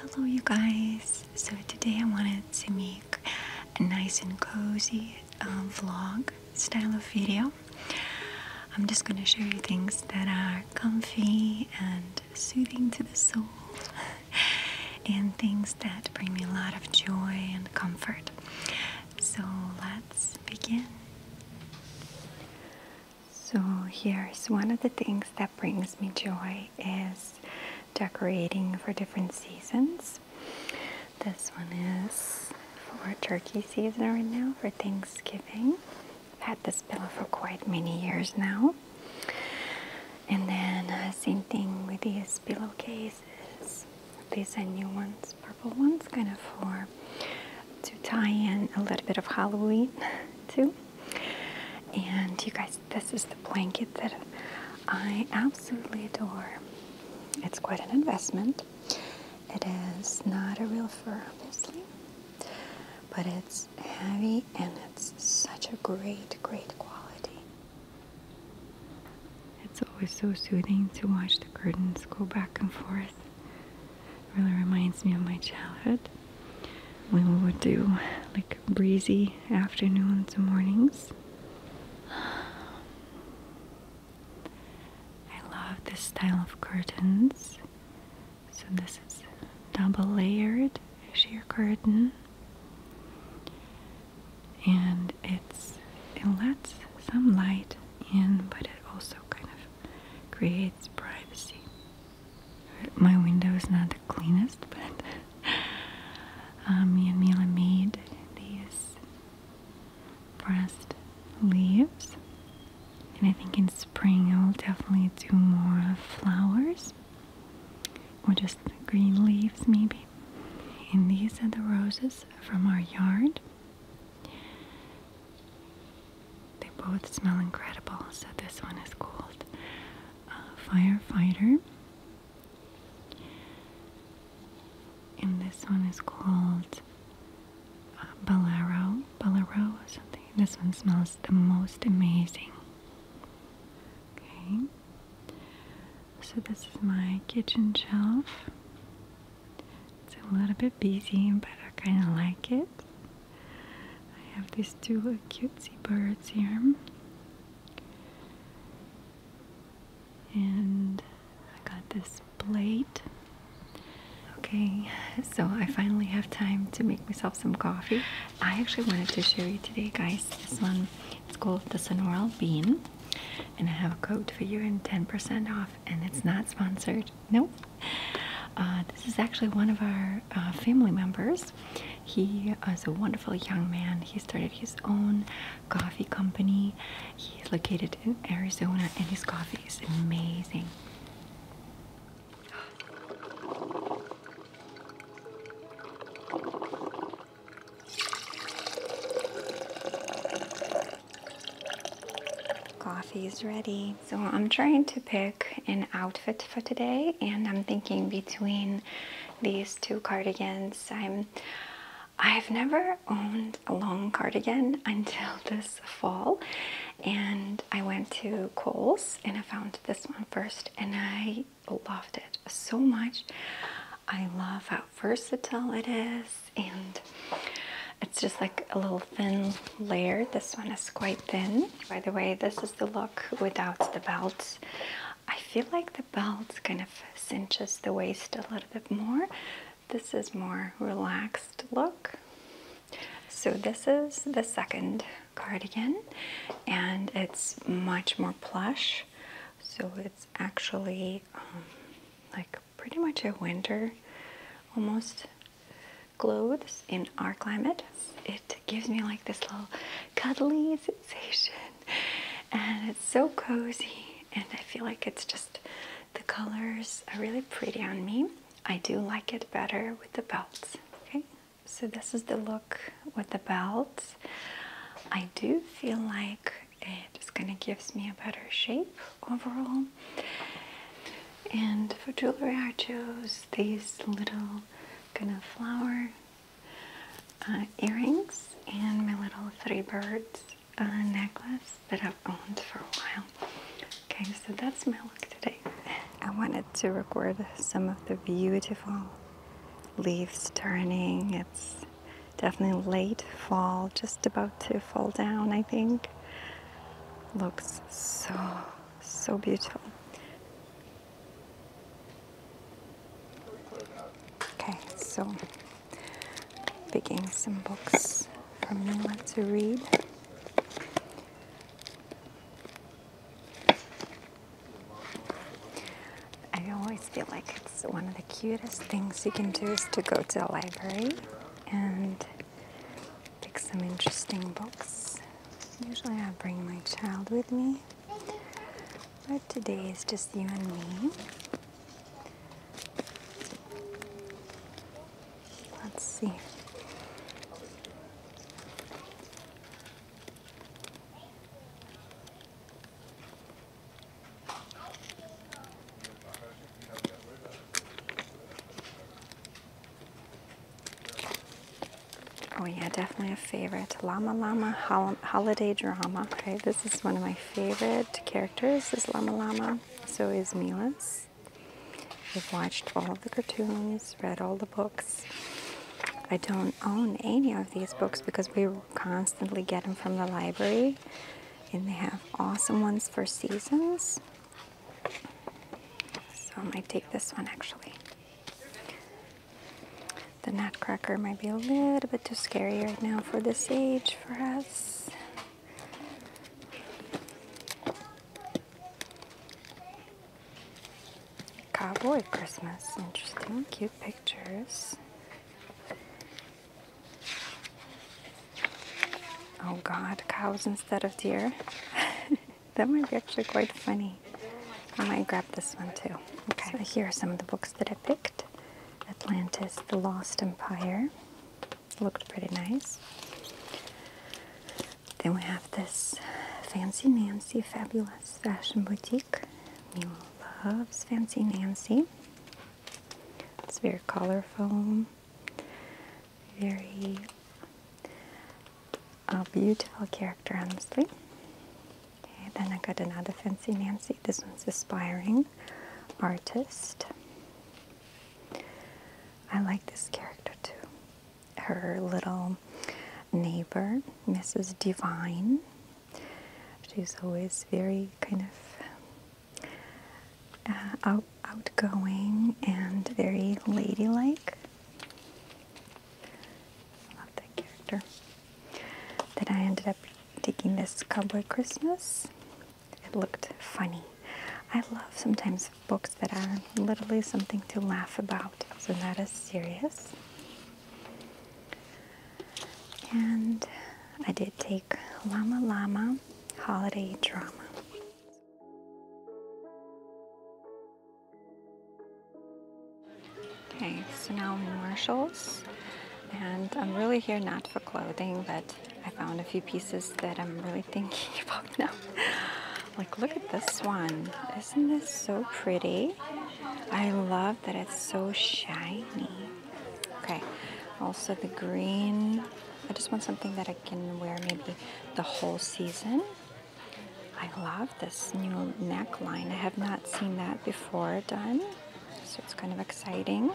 Hello you guys, so today I wanted to make a nice and cozy uh, vlog style of video. I'm just gonna show you things that are comfy and soothing to the soul and things that bring me a lot of joy and comfort. So let's begin. So here's one of the things that brings me joy is decorating for different seasons. This one is for turkey season right now for Thanksgiving. I've had this pillow for quite many years now. And then uh, same thing with these pillowcases. These are new ones purple one's kind of for to tie in a little bit of Halloween too. And you guys, this is the blanket that I absolutely adore. It's quite an investment. It is not a real fur, obviously, but it's heavy and it's such a great, great quality. It's always so soothing to watch the curtains go back and forth it really reminds me of my childhood when we would do like breezy afternoons and mornings. I love this style of curtains. So this is double layered sheer curtain. And it lets some light in, but it also kind of creates privacy. My window is not the cleanest, but uh, me and Mila made these pressed leaves, and I think in spring I'll definitely do more flowers or just green leaves, maybe. And these are the roses from our yard. They both smell incredible, so this one is called uh, Firefighter. And this one is called uh, Bolero, or something. This one smells the most amazing. Okay, so this is my kitchen shelf. It's a little bit busy, but I kind of like it. I have these two cutesy birds here. And I got this plate. Okay, so I finally have time to make myself some coffee. I actually wanted to show you today, guys, this one. It's called the Sonoral Bean. And I have a code for you and 10% off. And it's not sponsored right? No. Uh, this is actually one of our uh, family members. He is a wonderful young man. He started his own coffee company. He is located in Arizona, and his coffee is amazing. Coffee is ready. So I'm trying to pick an outfit for today, and I'm thinking between these two cardigans. I'm I've never owned a long cardigan until this fall, and I went to Kohl's and I found this one first, and I loved it so much. I love how versatile it is and it's just like a little thin layer. This one is quite thin. By the way, this is the look without the belts. I feel like the belt kind of cinches the waist a little bit more. This is more relaxed look. So this is the second cardigan and it's much more plush. So it's actually um, like pretty much a winter almost clothes in our climate. It gives me like this little cuddly sensation and it's so cozy and I feel like it's just the colors are really pretty on me. I do like it better with the belts. Okay, so this is the look with the belts. I do feel like it just kind of gives me a better shape overall and for jewelry, I chose these little kind of flower uh, earrings and my little three birds uh, necklace that I've owned for a while. Okay, so that's my look today. I wanted to record some of the beautiful leaves turning. It's definitely late fall, just about to fall down, I think looks so, so beautiful. Okay, so picking some books for me to read. I always feel like it's one of the cutest things you can do is to go to a library and pick some interesting books. Usually I bring my child with me, but today is just you and me. Let's see. Oh yeah, definitely a favorite. Lama Lama Holiday Drama. Okay, this is one of my favorite characters is Lama Lama? So is Milas. we have watched all of the cartoons, read all the books. I don't own any of these books because we constantly get them from the library. And they have awesome ones for seasons. So I might take this one actually. The nutcracker might be a little bit too scary right now for this age for us. Cowboy Christmas, interesting, cute pictures. Oh god, cows instead of deer. that might be actually quite funny. I might grab this one too. Okay, here are some of the books that I picked Atlantis, The Lost Empire. Looked pretty nice. Then we have this Fancy Nancy Fabulous Fashion Boutique. Mila loves Fancy Nancy. It's very colorful very beautiful character, honestly. Okay, then I got another Fancy Nancy. This one's Aspiring Artist. I like this character too. Her little neighbor, Mrs. Divine. She's always very kind of uh, outgoing and very ladylike. love that character. Then I ended up taking this Cowboy Christmas. It looked funny. I love sometimes books that are literally something to laugh about, so not as serious. And I did take Llama Llama Holiday Drama. Okay, so now I'm in Marshall's and I'm really here not for clothing, but I found a few pieces that I'm really thinking about now. like, look at this one. Isn't this so pretty? I love that it's so shiny. Okay, also the green I just want something that I can wear maybe the whole season. I love this new neckline. I have not seen that before done, so it's kind of exciting.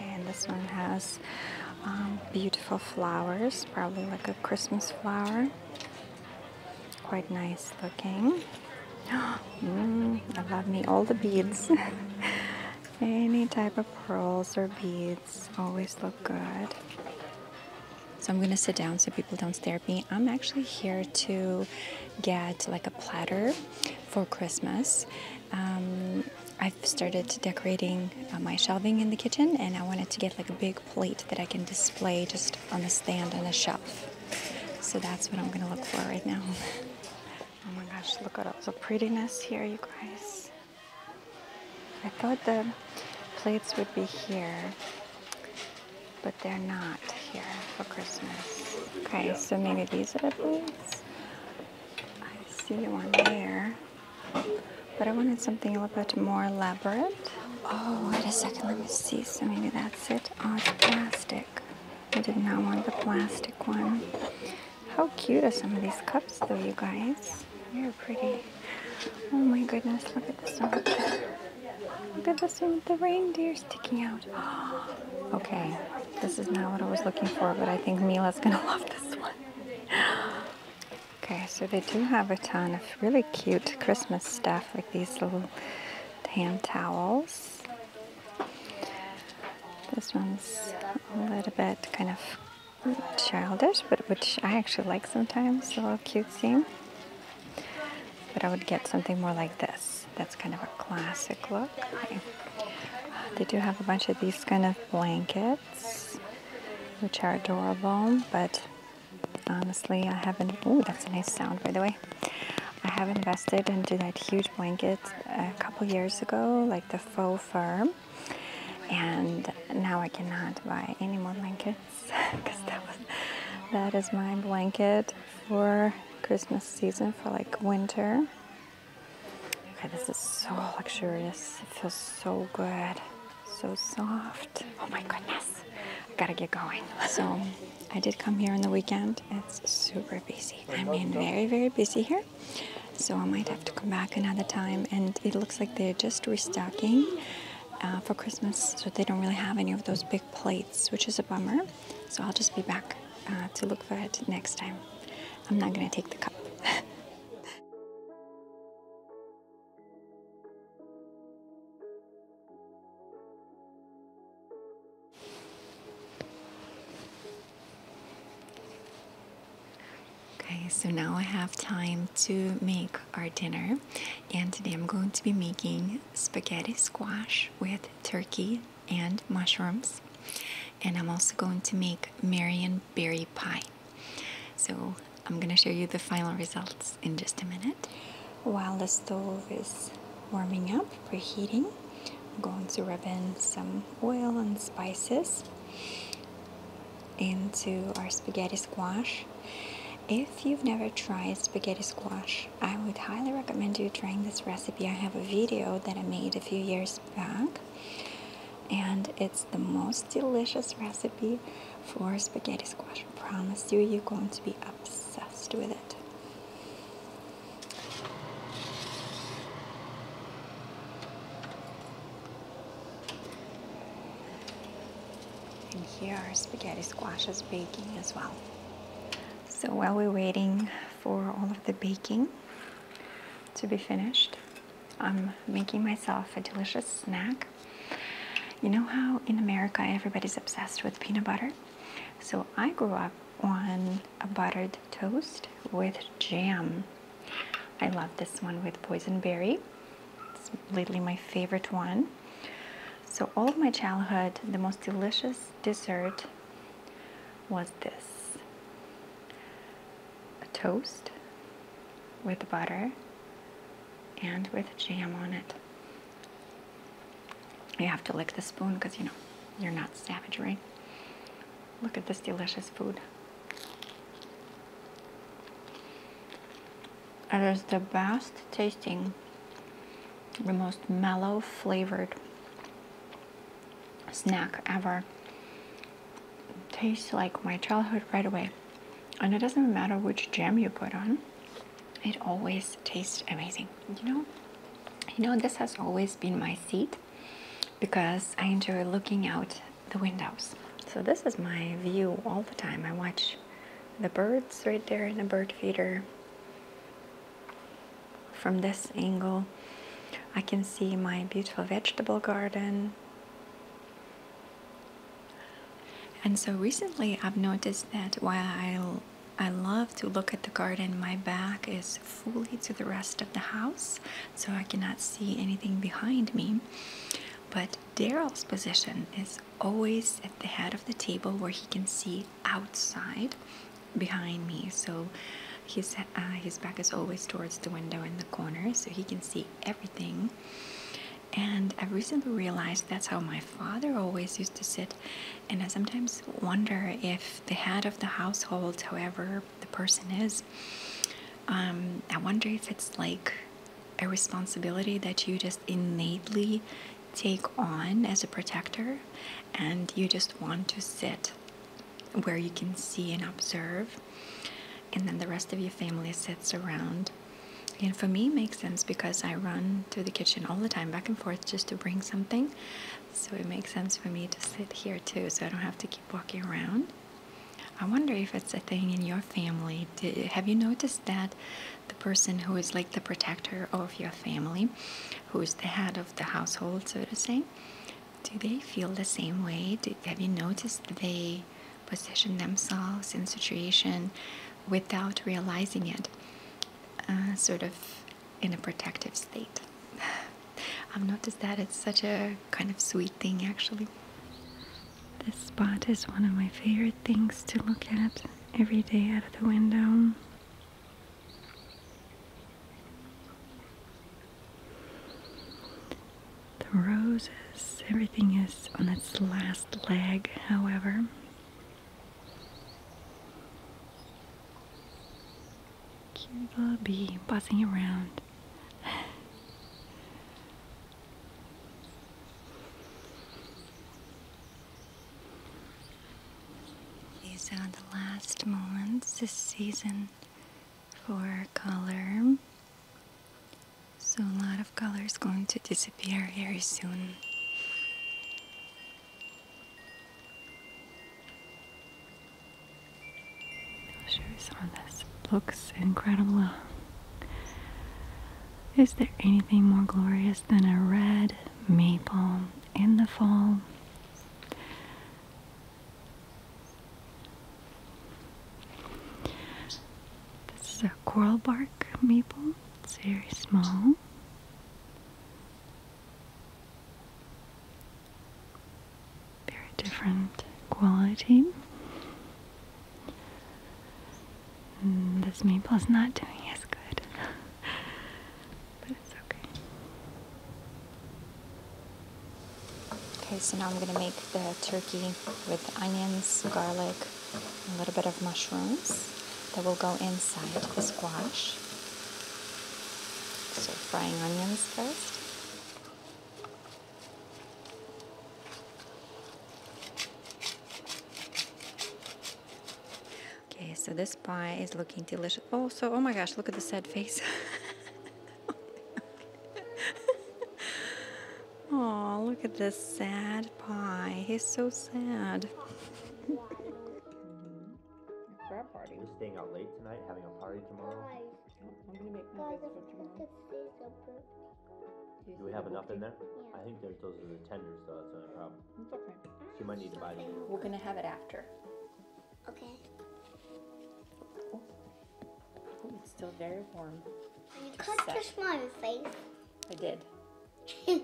And this one has um, beautiful flowers, probably like a Christmas flower. Quite nice looking. Mm, I love me all the beads. Any type of pearls or beads always look good. So I'm going to sit down so people don't stare at me. I'm actually here to get like a platter for Christmas. Um, I've started decorating uh, my shelving in the kitchen and I wanted to get like a big plate that I can display just on the stand on the shelf. So that's what I'm going to look for right now. oh my gosh, look at all the prettiness here, you guys. I thought the plates would be here, but they're not here for Christmas. Okay, so maybe these are the plates. I see one there, but I wanted something a little bit more elaborate. Oh, wait a second, let me see. So maybe that's it. Oh, plastic. I did not want the plastic one. How cute are some of these cups though, you guys? They're pretty. Oh my goodness, look at this one. Look at this one with the reindeer sticking out. okay, this is not what I was looking for, but I think Mila's gonna love this one. okay, so they do have a ton of really cute Christmas stuff, like these little hand towels. This one's a little bit kind of childish, but which I actually like sometimes, a little scene. But I would get something more like this. That's kind of a classic look. Uh, they do have a bunch of these kind of blankets, which are adorable, but honestly, I haven't, oh, that's a nice sound, by the way. I have invested into that huge blanket a couple years ago, like the faux fur. And now I cannot buy any more blankets because that is my blanket for Christmas season for like winter. Okay, this is so luxurious. It feels so good, so soft. Oh my goodness, I gotta get going. So I did come here on the weekend. It's super busy. I mean, very, very busy here. So I might have to come back another time. And it looks like they're just restocking uh, for Christmas. So they don't really have any of those big plates, which is a bummer. So I'll just be back uh, to look for it next time. I'm not going to take the cup. Okay, so now I have time to make our dinner, and today I'm going to be making spaghetti squash with turkey and mushrooms, and I'm also going to make Marion berry pie. So I'm gonna show you the final results in just a minute. While the stove is warming up, preheating, I'm going to rub in some oil and spices into our spaghetti squash. If you've never tried spaghetti squash, I would highly recommend you trying this recipe. I have a video that I made a few years back, and it's the most delicious recipe for spaghetti squash. I promise you, you're going to be obsessed with it. And here our spaghetti squash is baking as well. So while we're waiting for all of the baking to be finished, I'm making myself a delicious snack. You know how in America everybody's obsessed with peanut butter? So I grew up on a buttered toast with jam I love this one with boysenberry. It's lately my favorite one. So all of my childhood, the most delicious dessert was this. A toast with butter and with jam on it. You have to lick the spoon because you know, you're not savage, right? Look at this delicious food. It is the best tasting, the most mellow flavored snack ever. tastes like my childhood right away. And it doesn't matter which jam you put on, it always tastes amazing. You know, you know this has always been my seat because I enjoy looking out the windows. So this is my view all the time. I watch the birds right there in the bird feeder. From this angle, I can see my beautiful vegetable garden. And so recently I've noticed that while i I love to look at the garden, my back is fully to the rest of the house so I cannot see anything behind me. But Daryl's position is always at the head of the table where he can see outside behind me. So his, uh, his back is always towards the window in the corner so he can see everything. And I recently realized that's how my father always used to sit. And I sometimes wonder if the head of the household, however the person is. Um, I wonder if it's like a responsibility that you just innately take on as a protector and you just want to sit where you can see and observe and then the rest of your family sits around and for me it makes sense because i run to the kitchen all the time back and forth just to bring something so it makes sense for me to sit here too so i don't have to keep walking around I wonder if it's a thing in your family. have you noticed that the person who is like the protector of your family, who is the head of the household, so to say, do they feel the same way? have you noticed they position themselves in situation without realizing it, uh, sort of in a protective state? I've noticed that it's such a kind of sweet thing actually. This spot is one of my favorite things to look at every day out of the window. The roses, everything is on its last leg, however. Cute little bee buzzing around. These are the last moments this season for color. So a lot of color is going to disappear very soon. Show you some of this looks incredible. Is there anything more glorious than a red maple in the fall? This is a coral bark maple. It's very small very different quality. Mm, this maple is not doing as good, but it's okay. Okay, so now I'm going to make the turkey with onions, garlic, a little bit of mushrooms that will go inside the squash. So frying onions first. Okay, so this pie is looking delicious. Oh, so oh my gosh, look at the sad face. oh, look at this sad pie. He's so sad. We're staying out late tonight, having a party tomorrow. Do we have enough in there? Yeah. I think there's, those are the tenders so that's not a problem. you might need to buy them. We're gonna have it after. Okay. Oh, it's still very warm. You cut Set. face. I did.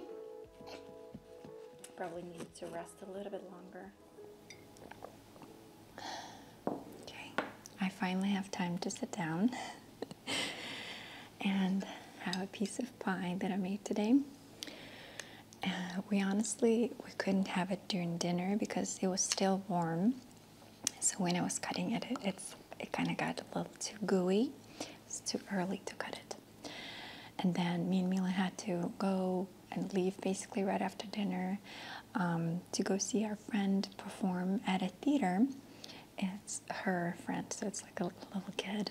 Probably needs to rest a little bit longer. Okay, I finally have time to sit down and have a piece of pie that I made today. Uh, we honestly we couldn't have it during dinner because it was still warm. So when I was cutting it, it it's it kind of got a little too gooey. It's too early to cut it. And then me and Mila had to go and leave basically right after dinner um, to go see our friend perform at a theater. It's her friend, so it's like a little kid.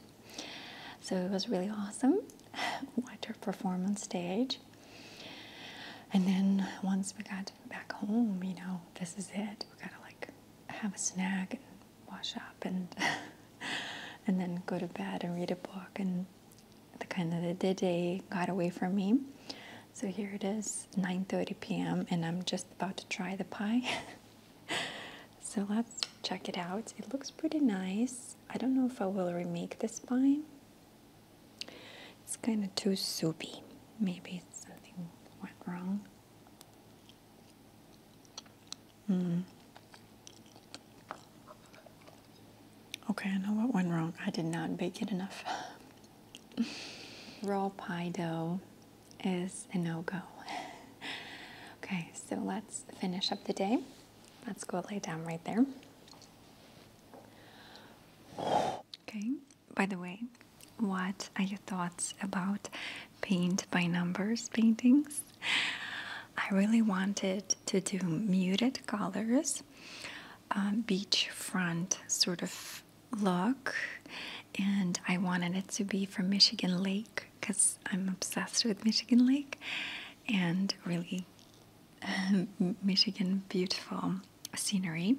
So it was really awesome. Watch her perform on stage. And then once we got back home, you know, this is it. We gotta like have a snack and wash up and and then go to bed and read a book and the kind of the day got away from me. So here it is, 9:30 p.m. and I'm just about to try the pie. so let's check it out. It looks pretty nice. I don't know if I will remake this pie. It's kind of too soupy. Maybe something went wrong. Mm. Okay, I know what went wrong. I did not bake it enough. raw pie dough is a no-go. okay, so let's finish up the day. Let's go lay down right there. Okay, by the way, what are your thoughts about paint by numbers paintings? I really wanted to do muted colors, um, beachfront sort of look and I wanted it to be from Michigan Lake because I'm obsessed with Michigan Lake and really um, Michigan beautiful scenery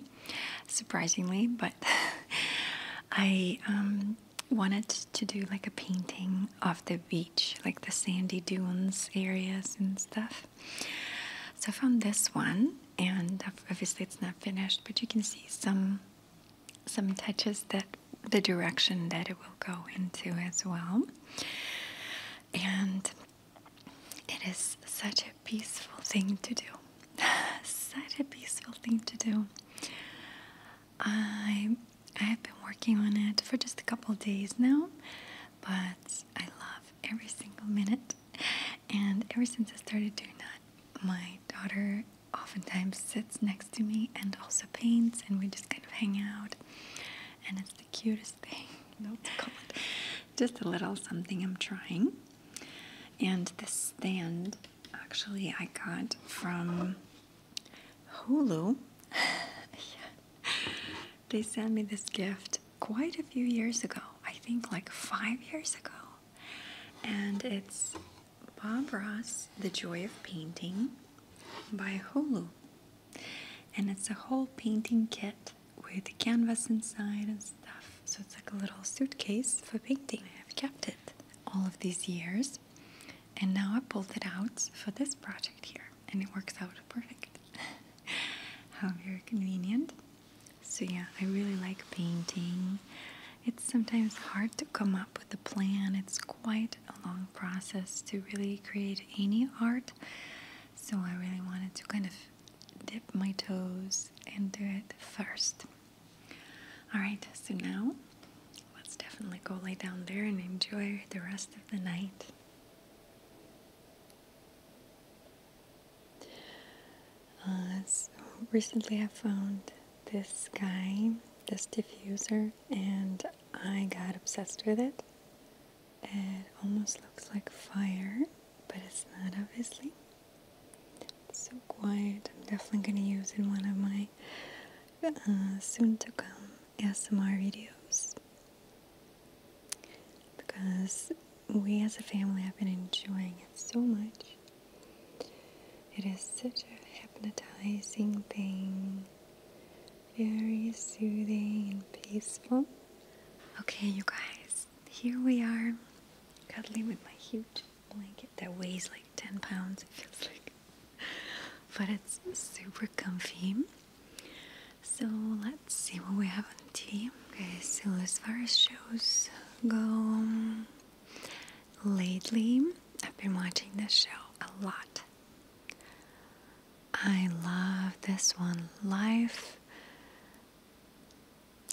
surprisingly but I um, wanted to do like a painting of the beach like the sandy dunes areas and stuff so I found this one, and obviously it's not finished, but you can see some some touches that the direction that it will go into as well. And it is such a peaceful thing to do. such a peaceful thing to do. I I have been working on it for just a couple days now, but I love every single minute. And ever since I started doing that, my daughter oftentimes sits next to me and also paints, and we just kind of hang out. And it's the cutest thing. just a little something I'm trying. And this stand, actually, I got from Hulu. They sent me this gift, quite a few years ago, I think like five years ago. And it's Bob Ross, The Joy of Painting by Hulu. And it's a whole painting kit with canvas inside and stuff. So it's like a little suitcase for painting. I have kept it all of these years. And now I pulled it out for this project here. And it works out perfect. How very convenient. So yeah, I really like painting. It's sometimes hard to come up with a plan. It's quite a long process to really create any art. So I really wanted to kind of dip my toes into it first. Alright, so now let's definitely go lay down there and enjoy the rest of the night recently I found this guy, this diffuser, and I got obsessed with it. It almost looks like fire, but it's not obviously. so quiet. I'm definitely going to use in one of my uh, soon to come ASMR videos because we as a family have been enjoying it so much. It is such a hypnotizing thing, very soothing and peaceful. Okay, you guys, here we are, cuddling with my huge blanket that weighs like 10 pounds, it feels like. But it's super comfy. So let's Let's see what we have on TV. Okay, so as far as shows go, lately I've been watching this show a lot. I love this one. Life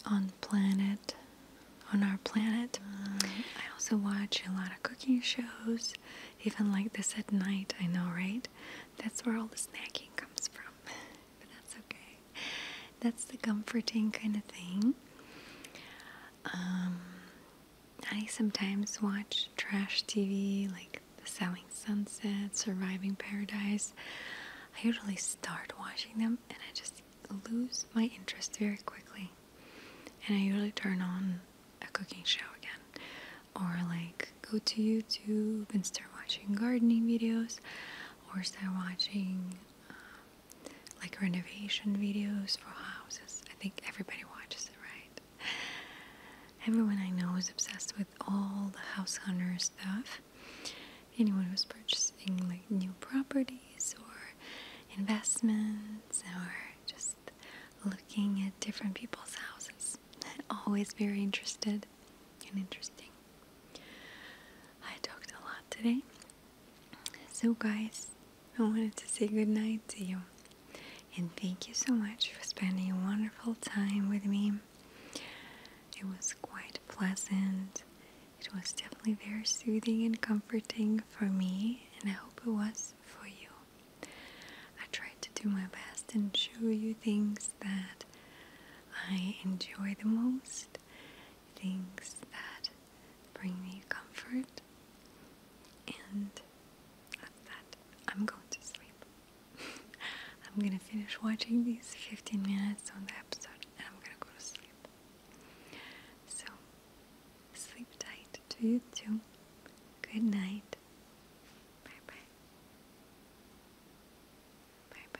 on planet, on our planet. I also watch a lot of cooking shows, even like this at night. I know, right? That's where all the snacking comes from. but that's okay. That's the comforting kind of thing. Um, I sometimes watch trash TV like Selling Sunset, Surviving Paradise. I usually start watching them and I just lose my interest very quickly. And I usually turn on a cooking show again. Or like go to YouTube and start watching gardening videos or start watching um, like renovation videos for houses. I think everybody watches it, right? Everyone I know is obsessed with all the house hunter stuff. Anyone who's purchasing like new properties or investments or just looking at different people's houses. Always very interested and interesting. I talked a lot today. So, guys, I wanted to say goodnight to you. And thank you so much for spending a wonderful time with me. It was quite pleasant. It was definitely very soothing and comforting for me, and I hope it was for you. I tried to do my best and show you things that I enjoy the most, things that bring me comfort, and at that, I'm going to sleep. I'm gonna finish watching these 15 minutes on the episode and I'm gonna go to sleep. So, sleep tight to you too. Good night. Bye bye. Bye bye.